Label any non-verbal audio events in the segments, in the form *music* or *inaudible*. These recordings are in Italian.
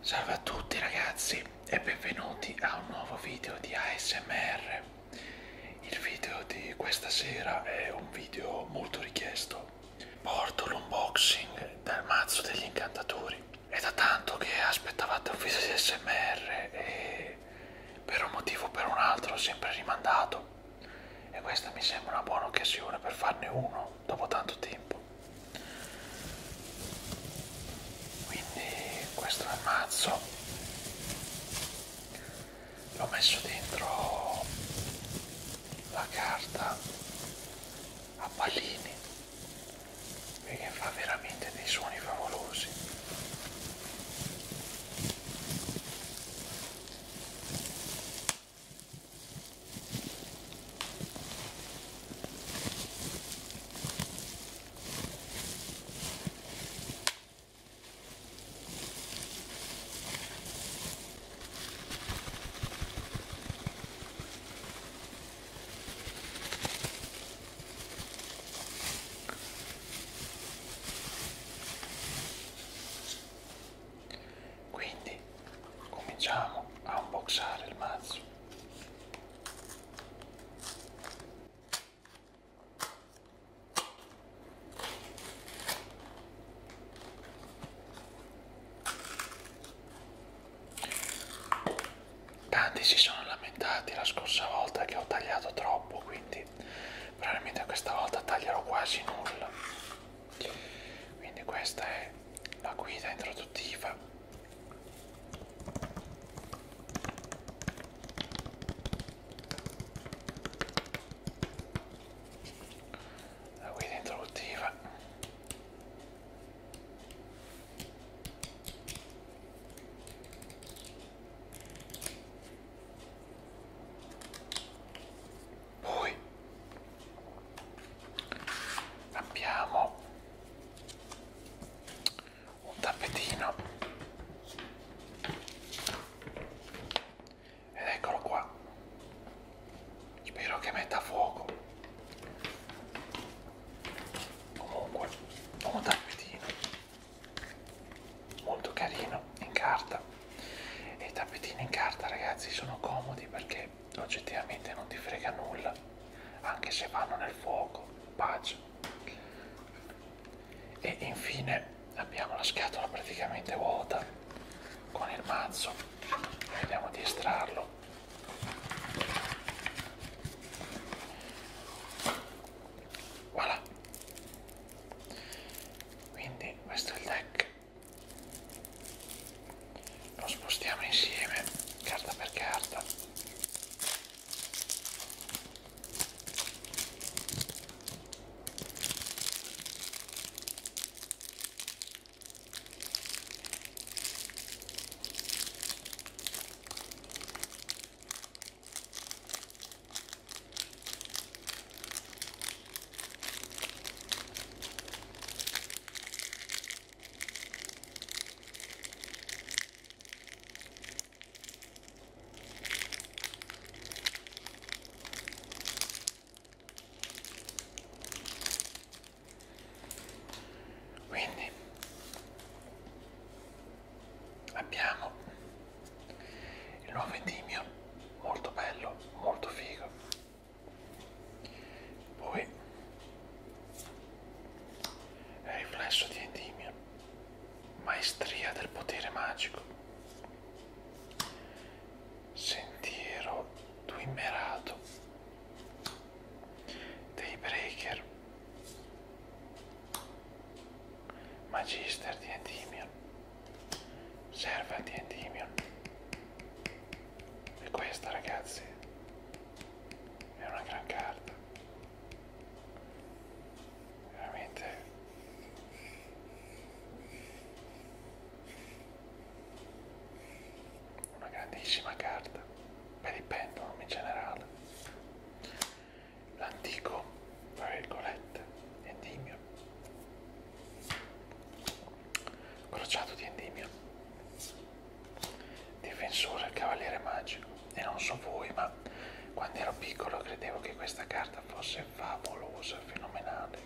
Salve a tutti ragazzi e benvenuti a un nuovo video di ASMR. Il video di questa sera è un video molto richiesto. Porto l'unboxing del mazzo degli incantatori. È da tanto che aspettavate un video di ASMR e per un motivo o per un altro ho sempre rimandato. E questa mi sembra una buona occasione per farne uno no dopo tanto tempo quindi questo è il mazzo l'ho messo dentro la carta a pallini perché fa veramente dei suoni favolosi quindi cominciamo a unboxare il mazzo. Tanti si sono lamentati la scorsa volta che ho tagliato troppo, quindi probabilmente questa volta taglierò quasi nulla. Quindi questa è la guida introduttiva la guida introduttiva poi abbiamo un tappetino ed eccolo qua spero che metta fuoco comunque un tappetino molto carino in carta e i tappetini in carta ragazzi sono comodi perché che oggettivamente non ti frega nulla, anche se vanno nel fuoco, pace. E infine abbiamo la scatola praticamente vuota con il mazzo, vediamo di estrarlo. Voilà. Quindi questo è il deck lo spostiamo insieme carta per carta quindi abbiamo il nuovo Endimio molto bello, molto figo poi è riflesso di Endimia, maestria del potere magico, sentiero duimerato dei breaker, magister di Endimion, serva di Endimion e questa ragazzi è una gran carta. Veramente una grandissima carta per il pendulum in generale. L'antico, tra virgolette, Endimio. Crociato di Endimio difensore del cavaliere magico e non so voi ma quando ero piccolo credevo che questa carta fosse favolosa, fenomenale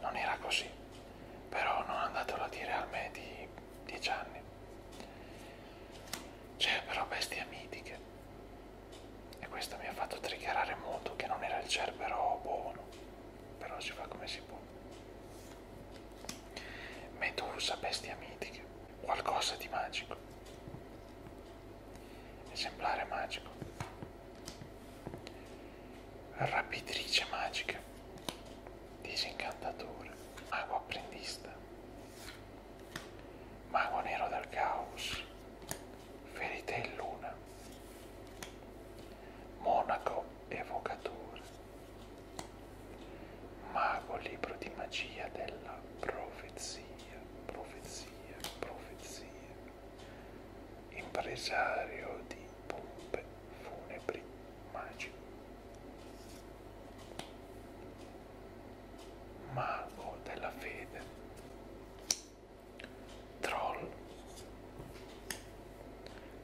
non era così però non andatelo a dire al me di 10 anni c'è però bestia mitiche e questo mi ha fatto triggerare molto che non era il cerbero buono però si fa come si può Medusa, bestia mitica, qualcosa di magico. Esemplare magico. Rapitrice magica. Disincantatore. Mago apprendista. Mago nero del caos. Ferite e luna. Monaco evocatore. Mago libro di magia della profezia, profezia, profezia. Impresario di pompe funebri magico. Mago della fede. Troll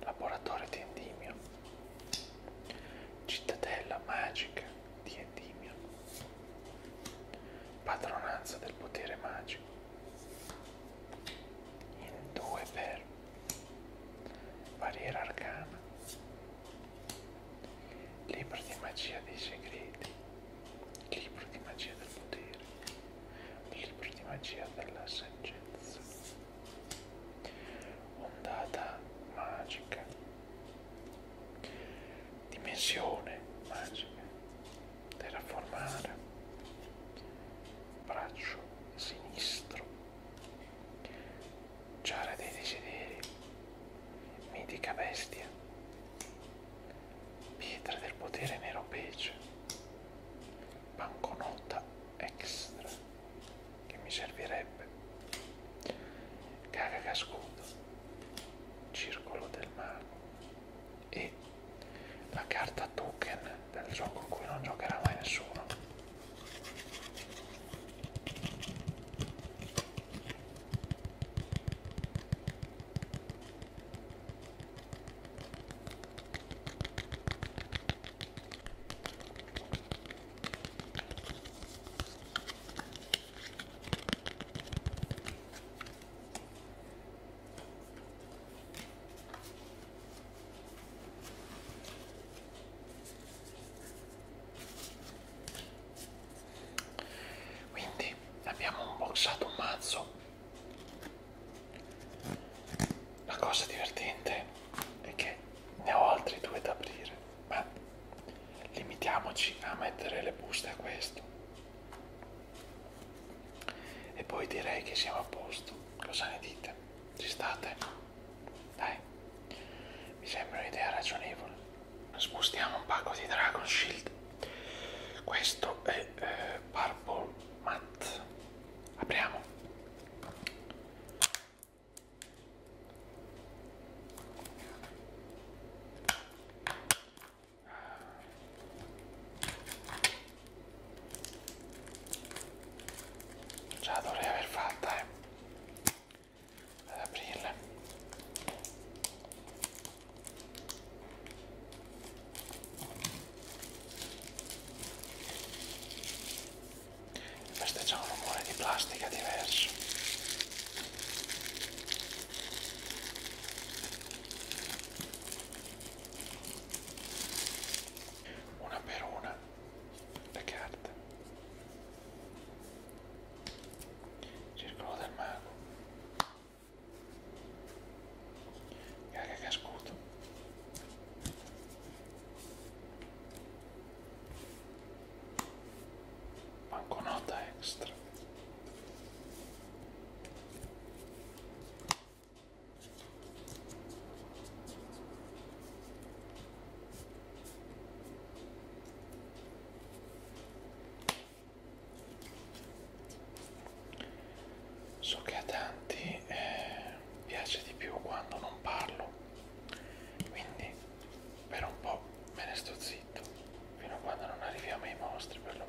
laboratorio di Endimio, cittadella magica di Endimio, padronanza del potere magico, in due per barriera arcana, libro di magia dei segreti, libro di magia del potere, libro di magia della saggezza ondata magica, dimensione magica, terraformare, braccio sinistro, giara dei desideri, mitica bestia, pietra del potere nero pece, banconotta extra che mi servirebbe caga cascudo circolo del mago e la carta token del gioco in cui non giocherà mai nessuno quindi abbiamo unboxato un mazzo la cosa divertente è che ne ho altri due da aprire, ma limitiamoci a mettere le buste a questo. E poi direi che siamo a posto. Cosa ne dite? Ci state? Dai, mi sembra un'idea ragionevole. Spostiamo un pacco di Dragon Shield. Questo è eh, Purple Matte. Apriamo. Ce la dovrei aver fatta eh. ad aprirla. Questa c'ha un rumore di plastica diverso. Una per una le carte. Circolo del mago. Raga che ascolto. Banconota extra. So che a tanti eh, piace di più quando non parlo, quindi per un po' me ne sto zitto, fino a quando non arriviamo ai mostri perlomeno.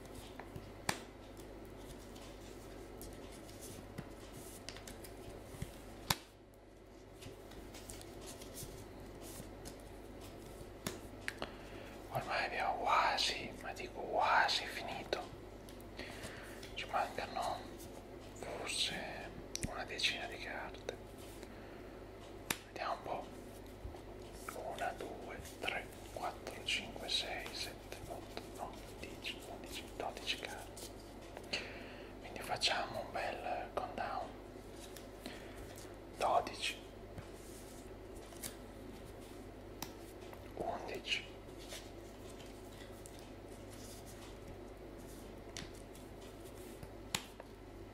Ormai abbiamo quasi, ma dico quasi finito. Ci mancano forse una decina di carte. Vediamo un po'. 1, 2, 3, 4, 5, 6, 7, 8, 9, 10, 11, 12 carte. Quindi facciamo un bel countdown. 12. 11 10 9 8 7 6 5 4 3 2 1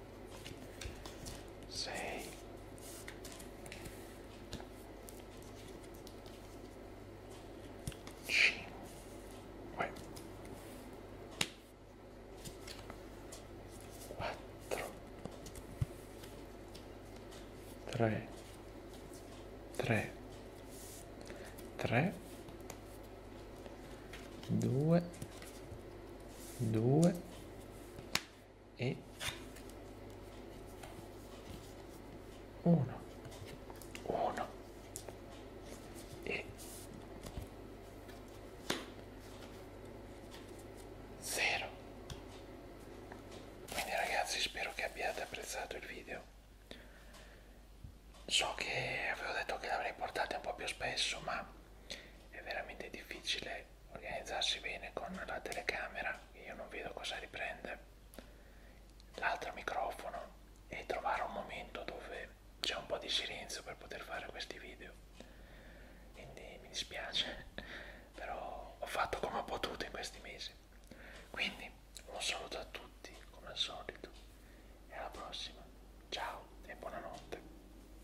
6 5 4 3 3 3 2 2 e 1 1 e 0 quindi ragazzi spero che abbiate apprezzato il video so che avevo detto che l'avrei portato un po' più spesso ma è veramente difficile organizzarsi bene con la telecamera, che io non vedo cosa riprende, l'altro microfono e trovare un momento dove c'è un po' di silenzio per poter fare questi video. Quindi mi dispiace, *laughs* però ho fatto come ho potuto in questi mesi. Quindi un saluto a tutti, come al solito, e alla prossima. Ciao e buonanotte.